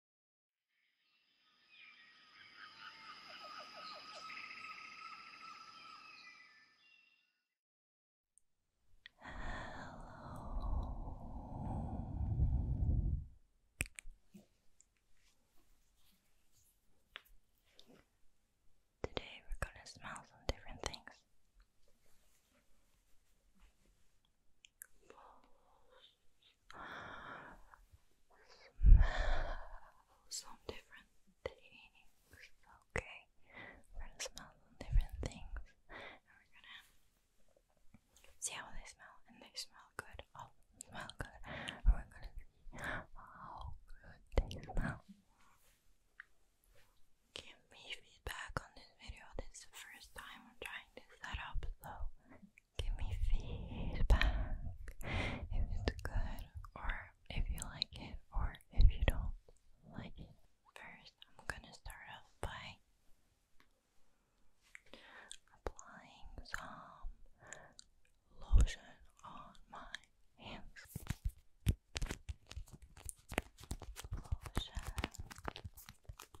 Hello. Today we're going to smell some different things smell some different things. Okay, we're gonna smell different things, and we're gonna see how they smell. And they smell good. Oh, smell good. we're gonna see how good they smell. Give me feedback on this video. This is the first time I'm trying to set up, so Give me feedback if it's good or if you like it or if you don't like it. First, I'm gonna start off by applying some lotion on my hands.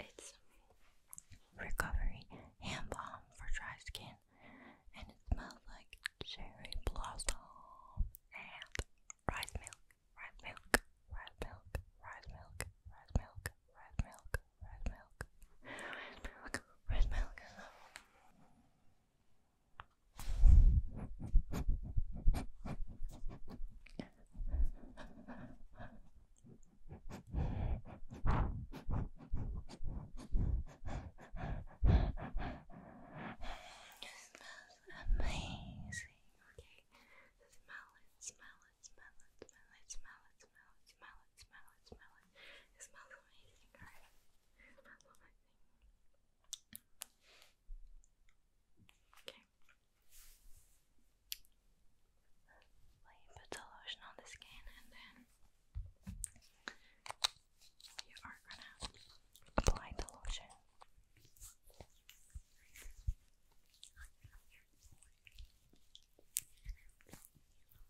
It's recovery hand balm for dry skin, and it smells like cherry blossom and rice milk, rice milk, rice milk, rice milk, rice milk, rice milk, rice milk, rice milk. Rice milk amazing. Okay, so smell it, smell it, smell it, smell it, smell it, smell it, smell it, smell it, smell it. It smells amazing, Okay. Well, you put the lotion on the skin and then you are gonna apply the lotion.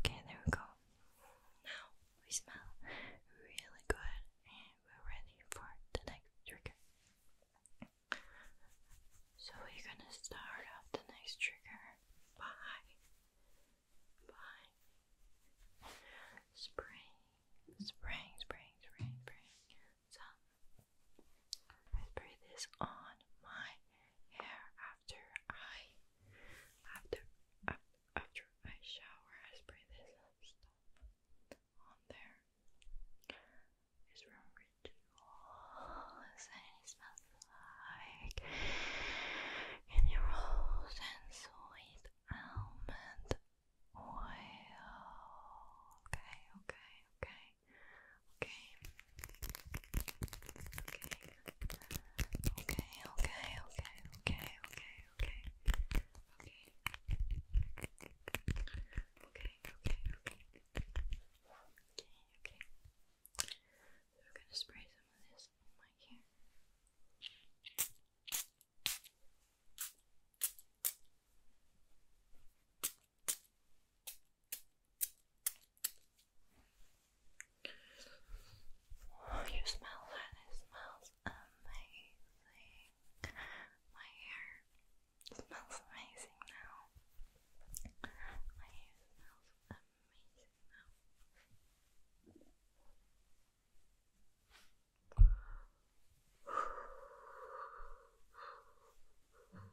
Okay, there we go. Now we smell really good and we're ready for the next trigger. So we're gonna start off the next trigger by by spraying, spraying, spraying, spraying, spraying some I spray this on my hair after I after after I shower. I spray this stuff on there. It's from Rituals and it smells like candy rolls and sweet almond oil. Okay, okay, okay okay, okay, okay, okay, okay, okay, okay, okay, okay, okay, okay, okay, okay. We're gonna spray some of this on my hair. Oh, you smell It smells amazing. My hair smells amazing now. My hair smells amazing now.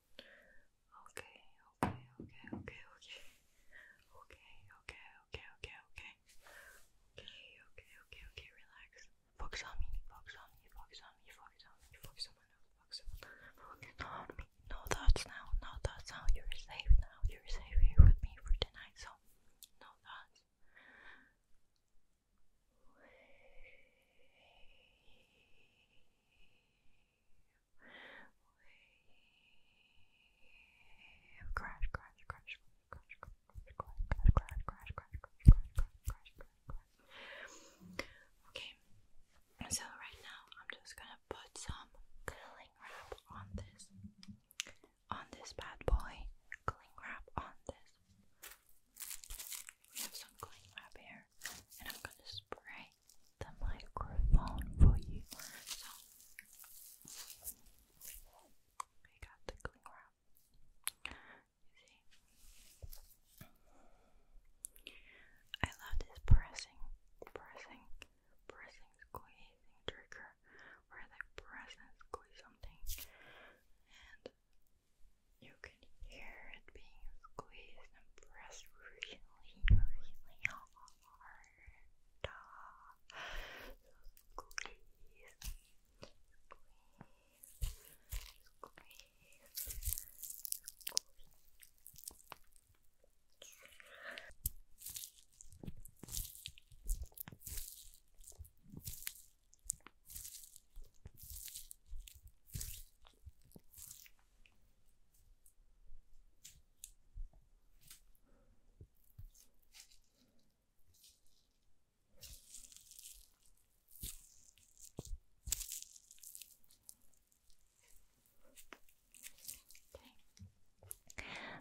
Okay, okay, okay, okay, okay. Okay, okay, okay, okay, okay. Okay, okay, okay, relax. Focus on me, focus on me, focus on me, focus on me, focus on me, focus on me, No thoughts now, no thoughts now. You're safe now, you're safe here with me for tonight, so no thoughts wave. Crash, crash, crash, crash, crash, crash, crash, crash, crash, crash, crash, crash, crash, crash. Okay, so right now I'm just gonna put some cling wrap on this, on this bad boy. Cling wrap on this. We have some cling wrap here, and I'm gonna spray the microphone for you. So we got the cling wrap. I love this pressing, pressing, pressing, squeezing trigger where they press and squeeze something and you can here and being squeezed and pressed really, really hard. squeeze, squeeze, squeeze, squeeze. Okay.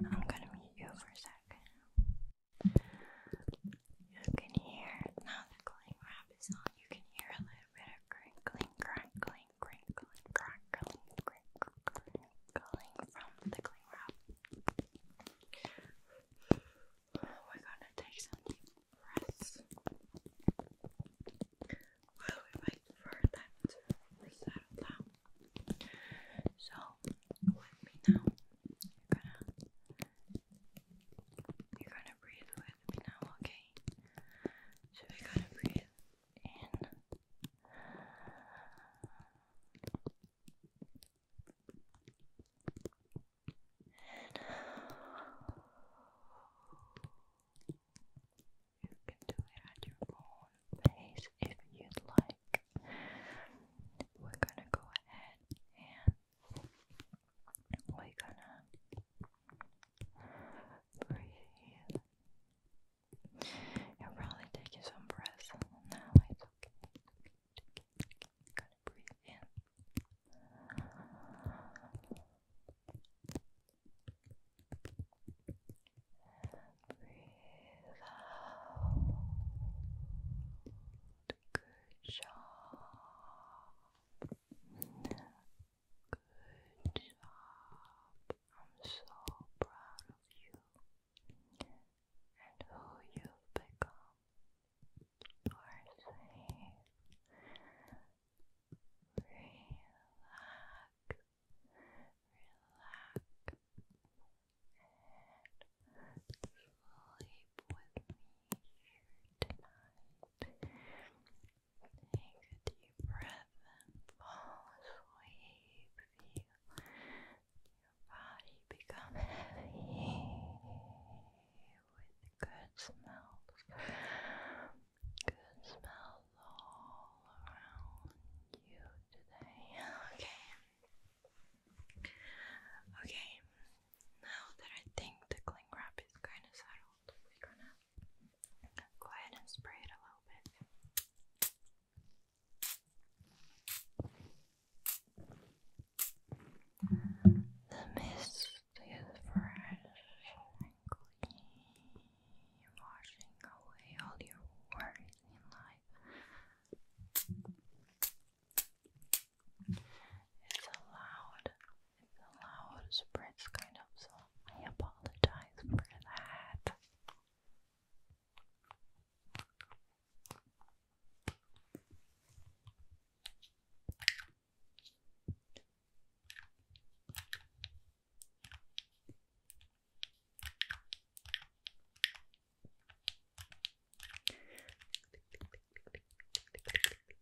I'm gonna mute you for a sec. You can hear now the cling wrap is on, you can hear a little bit of crinkling crackling, crinkling, crackling, crinkling, crinkling from the cling wrap. We're gonna take some deep breaths while we wait for that to settle down. So, with me now, you're gonna, you're gonna breathe with with me now, okay? So we gotta breathe in. you can do it at your own pace if you'd like. We're gonna go ahead and we're gonna Breathe. You're probably taking some breaths now. It's okay. It's okay. in. And breathe out. Good job. Good job. I'm so proud of you and who you've become. You Relax. Relax. And sleep with me tonight. Take a deep breath and fall Feel your body become heavy with good smells. Good smells all around you today. Okay. Okay. Now that I think the cling wrap is kind of settled, we're gonna Go ahead and spray it a little bit. The mist is fresh and clean, washing away all your worries in life. It's loud the loud spreads kind of, so I apologize for that. Okay. Okay,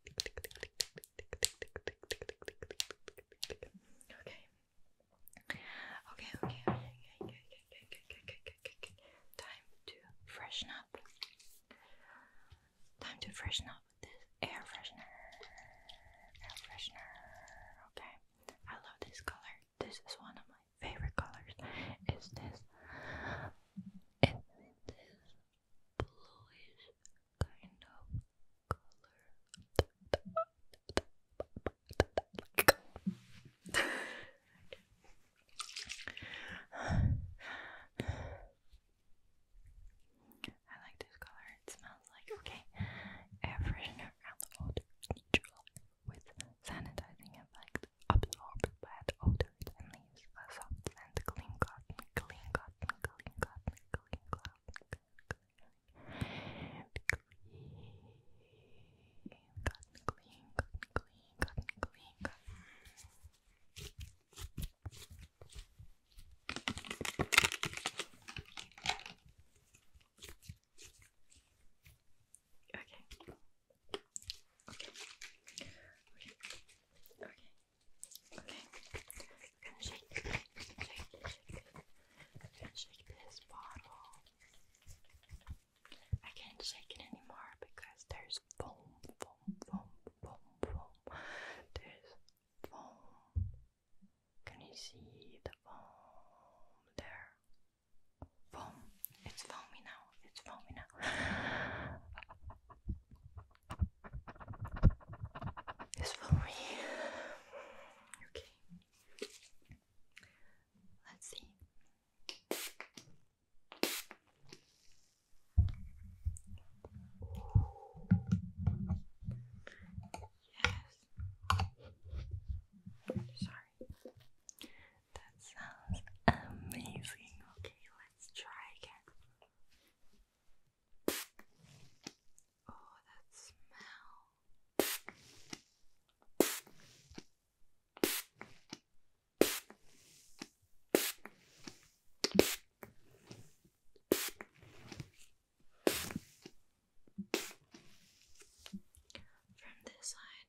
okay, okay, okay, okay, okay, okay, okay, Time to freshen up. Time to freshen up this air freshener. Air freshener. Okay. I love this color. This is one of my favorite colors. Is this? It's this bluish kind of color. I like this color, it smells like okay. Air freshener and odor neutral with sanitizing effect absorbed bad odors and leaves a soft and clean cotton, clean cotton, clean cotton, crackling cloud, crackling clean, cotton clean, cotton clean, cotton clean, cotton. Okay. Okay. Okay. Okay. Okay, I'm gonna shake, shake, shake, shake this bottle. I can't shake it anymore because there's foam, foam, foam, foam, foam. There's foam. Can you see the foam there? Foam. It's foamy now. It's foamy now. This for me. Okay. Let's see. Yes. Sorry. That sounds amazing. Okay, let's try again. Oh, that smell. From this side.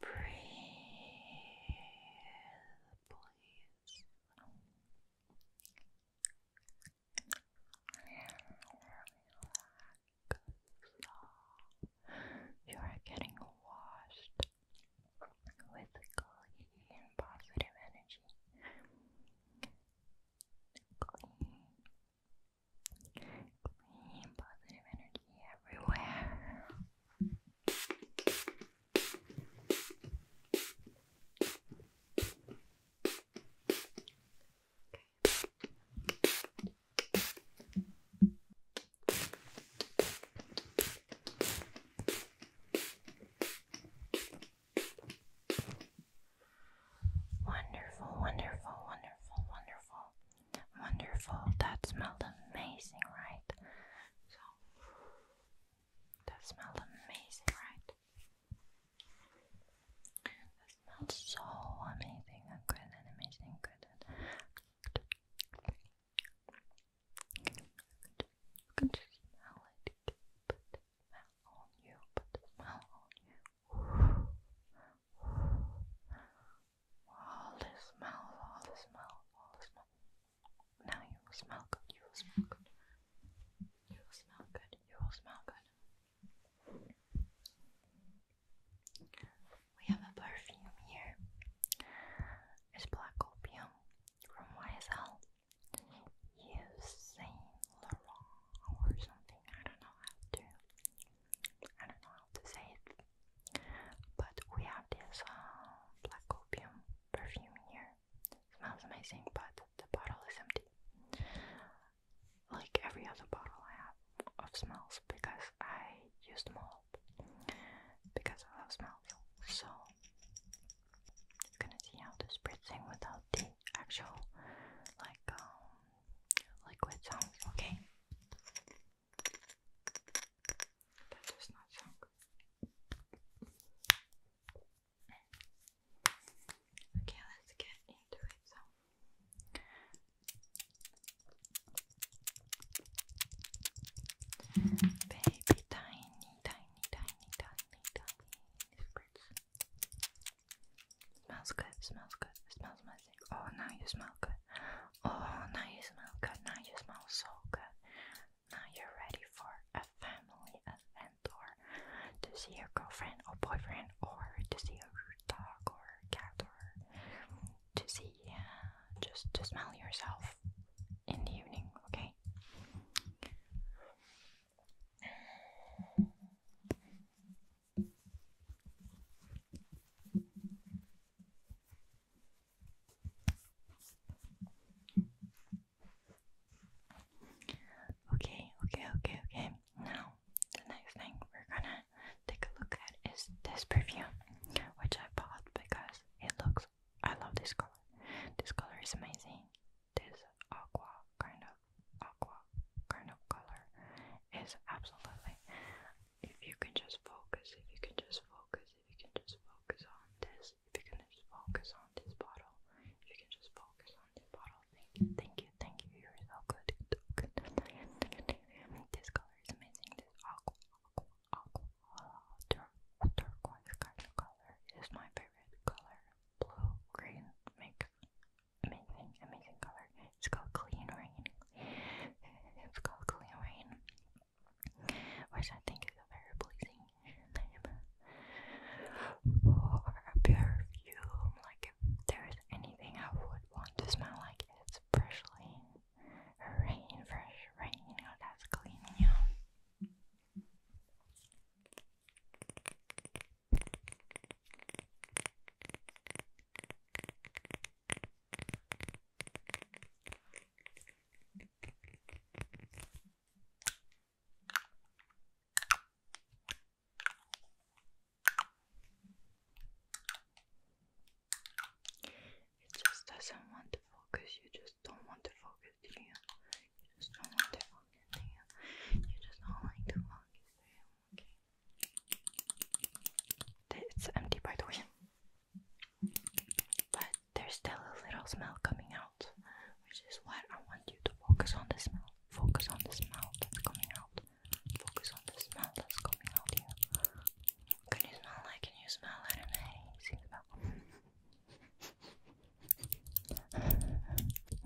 Breathe, please. Relax. You are getting washed with clean, positive energy. Clean, Clean, positive energy everywhere. Wonderful, wonderful, wonderful, wonderful, wonderful. That smelled amazing, right? So, that smelled amazing, right? That smelled so amazing and good and amazing, good and you can just smell it, but smell on you, but smell on you. All the smell, all the smell, all the smell. Now you will smell good, you will smell good. You will smell good, you will smell good. We have a perfume here. It's black opium from YSL. Yves Saint or something. I don't know how to. I don't know how to say it. But we have this uh, black opium perfume here. It smells amazing, but the bottle is empty. Like every other bottle I have of smells, because I used them all because I love smell. So you're gonna see how to spritz without the actual like um, liquid sounds, okay? That does not sound good. Okay, let's get into it. So. Baby, tiny, tiny, tiny, tiny, tiny spritz. Smells good, smells good, smells amazing. Oh, now you smell good. Oh, now you smell good, now you smell so good. Now you're ready for a family event or to see your girlfriend or boyfriend or to see your dog or cat or to see, uh, just to smell yourself in the evening, okay? Okay, okay, okay, okay. Now, the next thing we're gonna take a look at is this perfume, which I bought because it looks. I love this color. This color is amazing. This aqua kind of aqua kind of color is absolutely if you can just focus, if you can just focus, if you can just focus on this, if you can just focus on this bottle, if you can just focus on this bottle, thank you, thank you, thank you, you're so good, so good. This color is amazing, this aqua, aqua, aqua, tur turquoise kind of color is my favorite color. Blue, green, mix, amazing, amazing color. It's called Clean Rain. It's called Clean Rain, which I think is a very pleasing name for a perfume. Like, if there's anything I would want to smell like, it's freshly rain, fresh rain. that's clean, it just doesn't want to focus, you just don't want to focus, do you? just don't want to focus, do you? just don't like to focus, do Okay. It's empty by the way. But there's still a little smell coming out, which is what I want you to focus on the smell. Focus on the smell that's coming out. Focus on the smell that's coming out here. Can you smell like can you smell it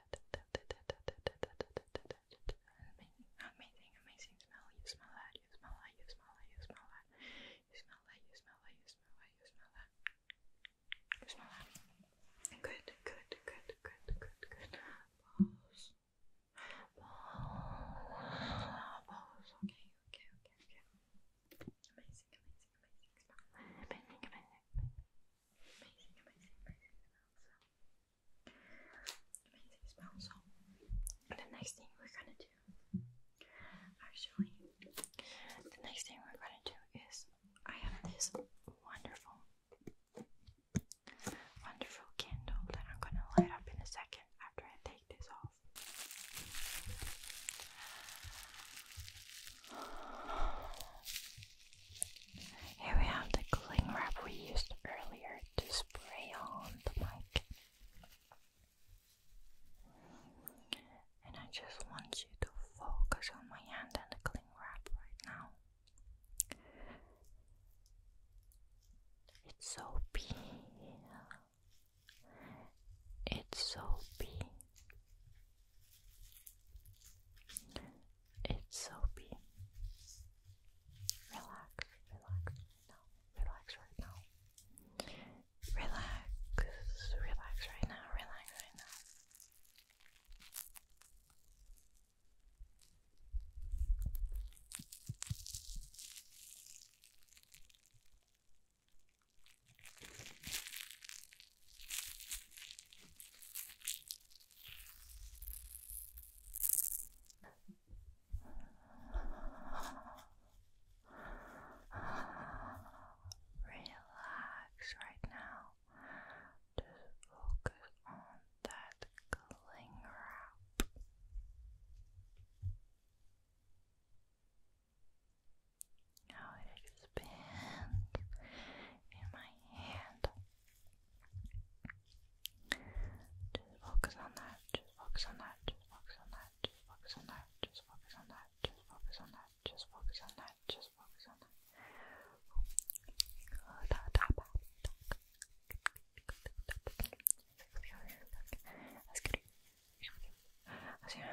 Amazing, amazing, smell. You smell that, you smell that, you smell that, you smell that. You smell that, you smell that, you smell that, you smell that. You Good, good, good, good, good, good. Balls. Balls. Okay, okay, okay, okay. Amazing, amazing, amazing smell. amazing, amazing amazing, amazing, amazing Amazing the next thing we're gonna do, actually, the next thing we're gonna do is I have this wonderful, wonderful candle that I'm gonna light up in a second after I take this off. Here we have the cling wrap we used earlier to spray on the mic. And I just want you to focus on my hand and the cling wrap right now. It's so It's so big. It's soapy. Relax, relax now. Relax right now. Relax, relax right now. Relax right now. Relax right now. Just focus on that cling wrap. Now it expands in my hand. Just focus on that, just focus on that, just focus on that, just focus on that, just focus on that, just focus on that, just focus on that, just focus on that. Let's get it. Let's get it. Let's get it.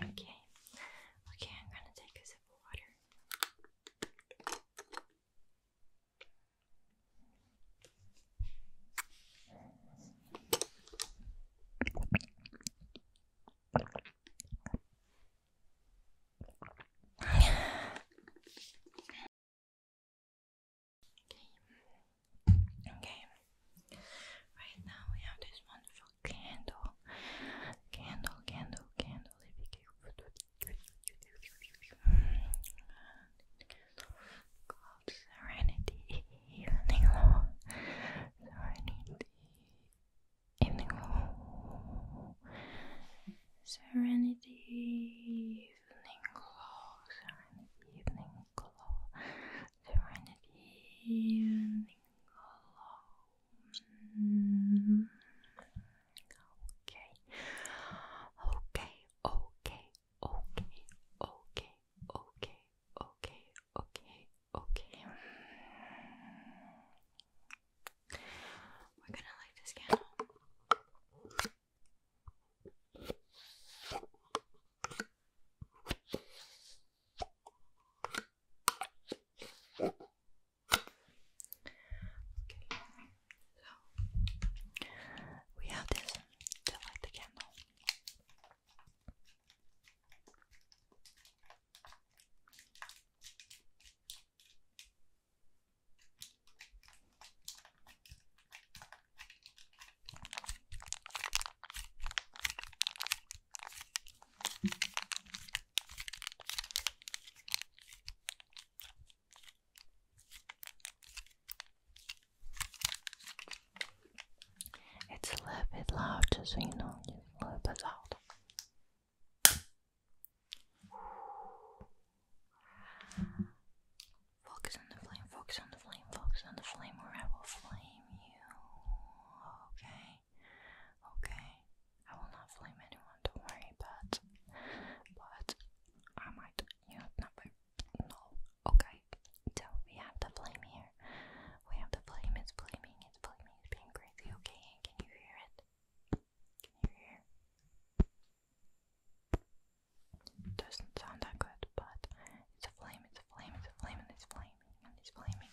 Okay, okay, I'm gonna take a sip of water. Okay. Right now we have this wonderful candle, candle, candle, candle. Serenity Evening Law. Serenity Evening Law. Serenity Evening Law. Serenity Evening Law. Okay. Okay. Okay. Okay. Okay. Okay. Okay. Okay. Okay. We're gonna light this candle. Okay, so we have this to light the candle. It's a little bit loud, so you know, just a little bit loud. Focus on the flame, focus on the flame, focus on the flame, or I will flame you. Okay. Okay, I will not blame anyone, don't worry, but but I might you know no okay. So we have the blame here. We have the blame, it's blaming, it's blaming, it's being crazy, okay? Can you hear it? Can you hear? doesn't sound that good, but it's a flame, it's a flame, it's a flame, and it's flaming, it's flaming,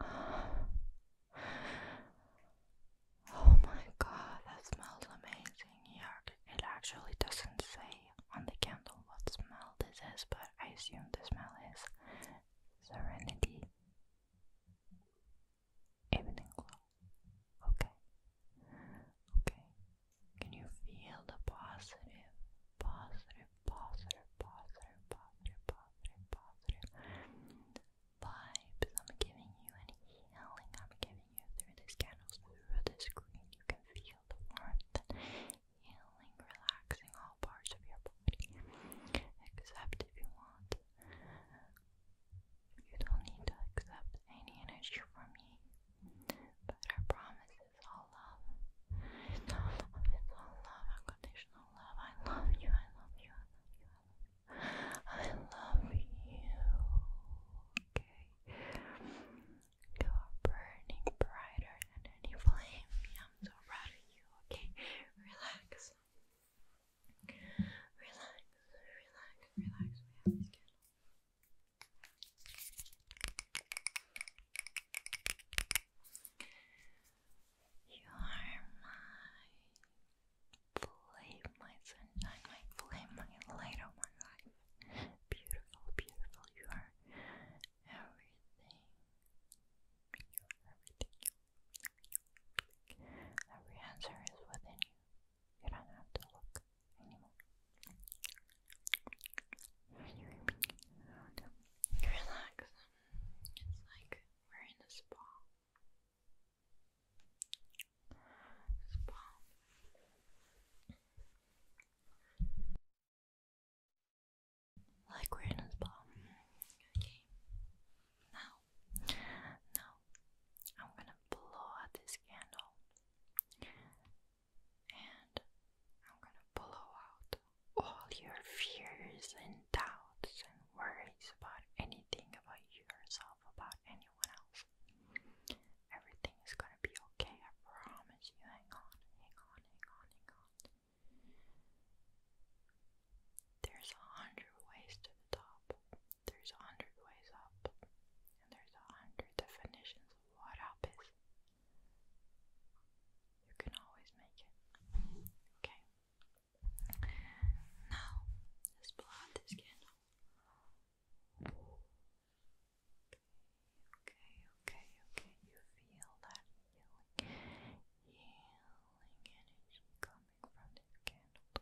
Oh my god, that smells amazing. Yuck. It actually doesn't say on the candle what smell this is, but I assume the smell is serenity. Evening glow. Okay. Okay. Can you feel the positive, positive positive, positive, positive, positive, positive vibes I'm giving you and healing I'm giving you through these candles, through this green. You can feel the warmth and healing, relaxing all parts of your body. Except if you want. You don't need to accept any energy from me. But I promise it's all love. love, it's all love, unconditional unconditional love. I love you. I love you. I love you. I love you. Okay. You are burning brighter than any flame. I'm so proud of you. Okay. Relax. Relax. Relax. Relax. We have this candle. You are my flame, my sunshine, my flame, my light of my life. Beautiful, beautiful. You are everything. You are everything. Every answer is within you. You don't have to look anymore. Relax. It's like we're in a spa. Spa. Like we're in a spa. Okay. Now, now, I'm gonna blow out this candle, and I'm gonna blow out all your fears and doubts and worries about anything about yourself, about anyone else. Everything is gonna be okay, I promise you. Hang on, hang on, hang on, hang on. There's a hundred ways to the top, there's a hundred ways up, and there's a hundred definitions of what up is. You can always make it. Okay. Now, let's blow out this Okay, okay, okay. You feel that healing, energy coming from this candle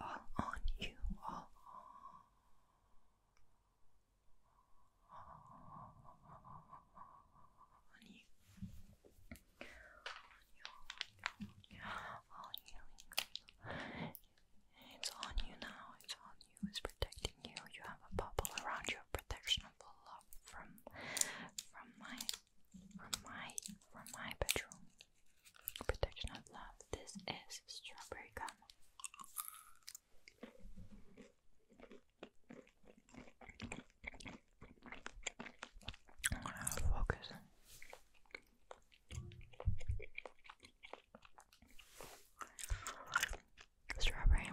all on you, all on. you. On you, on you, on you. It's on you now, it's on you, it's protecting you. You have a bubble around you, extra protection for love from from my from my from my bedroom. Protection of love. This is strawberry gum. focus strawberry,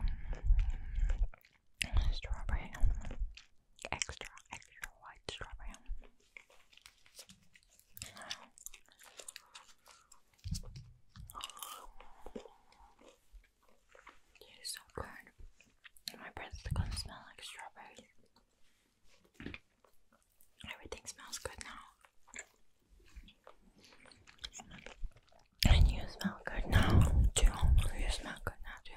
strawberry, extra, extra white strawberry. It is so good. My breath is gonna smell like strawberries. Everything smells good now. And you smell good now, too. You smell good now, too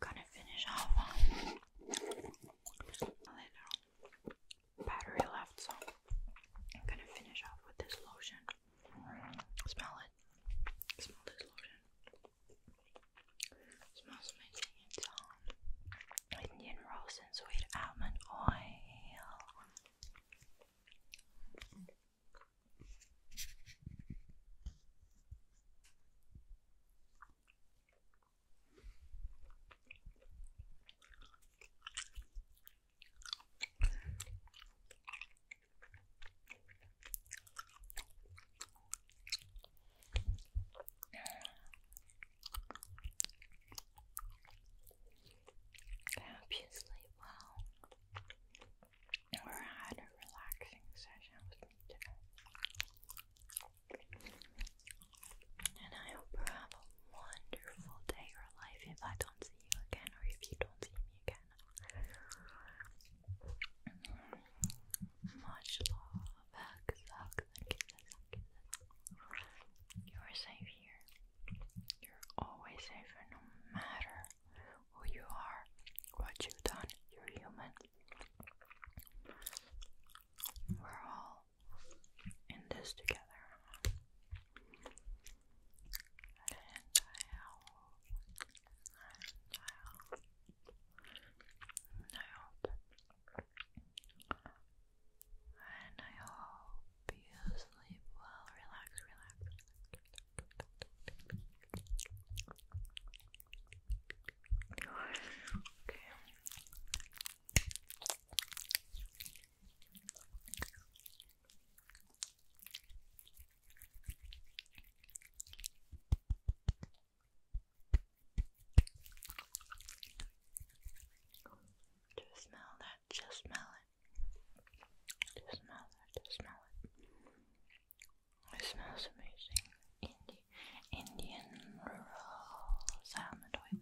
gonna finish off um, battery left, so I'm gonna finish off with this lotion. Smell it. Smell this lotion. smells amazing. It's um, Indian rose and sweet almond oil. I hope you sleep well or had a relaxing session with me today. And I hope you have a wonderful day or life if I don't see you again or if you don't see me again. Much love, You are safe here. You're always safe, no matter who you are, what you've done. You're human. We're all in this together. And I hope, and I hope, and I hope, and I hope you sleep well. Relax, relax, Okay. Just smell that, just smell it. Just smell that, just smell it. It smells amazing. Indi Indian rural salmon oil.